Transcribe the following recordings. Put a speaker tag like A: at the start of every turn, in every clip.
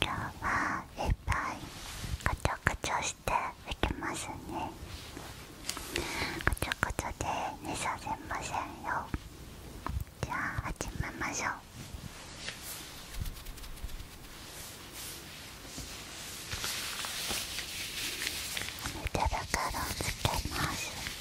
A: 今日はいっぱいカチョカチョしていきますねカチョこチョで寝させませんよじゃあ始めましょうおるから。つけます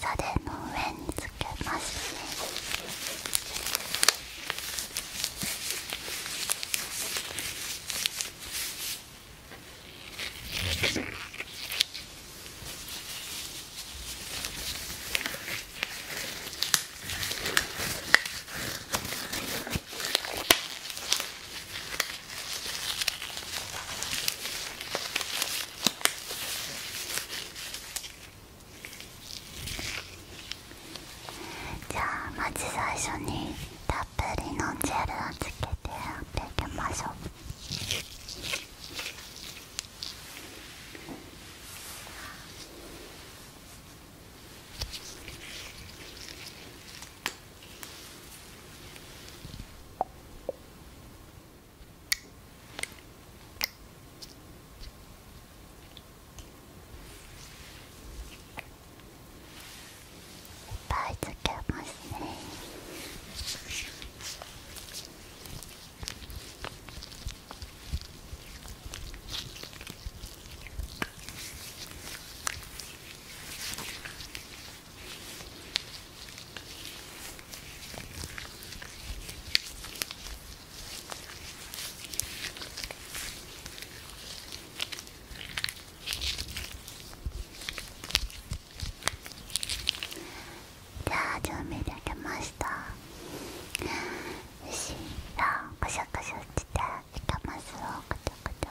A: 袖の上につけますねじゃあまず最初にたっぷりのジェルをつけてやっていきましょうはいぱいつけますねじゃあ準備できましたよしじゃあカシャカシャしていきますよカチャカ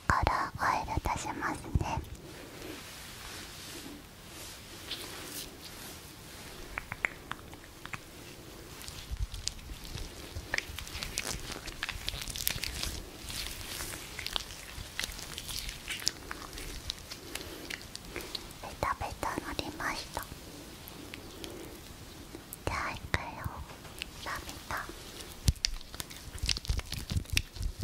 A: 下からオイル足しますねベタベタのりましたじゃあいくよラビタ。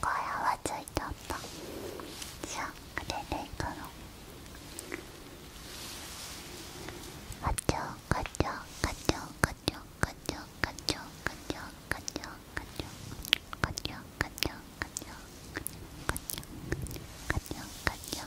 A: これはついちゃったじああれでいくのガチョガチョガチョガチョガチョガチョガチョガチョガチョガチョガチョガチョガチョガチョガチョガチョガチョガチョ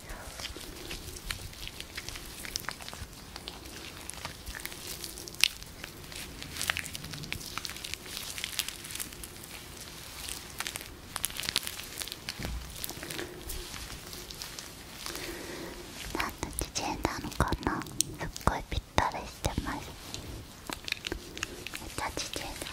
A: なんだちちェンダーのかなすっごいぴったりしてますめっちゃちちェンダー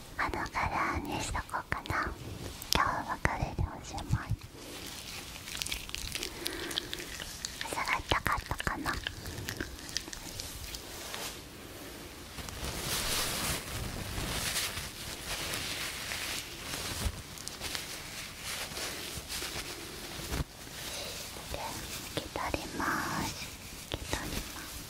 A: 窓からにしとこうかな今日は別れておしまい朝がたかったかなで、引き取ります引き取ります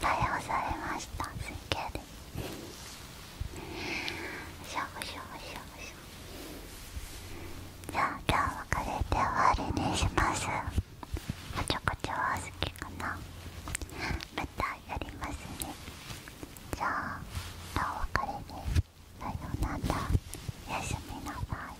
A: 逮捕されましたすげしょうしょうしょうじゃあ今日はこれで終わりにしますこちょこちょは好きかなまたやりますねじゃあお別れでさようならおみなさいおやすみバイバイ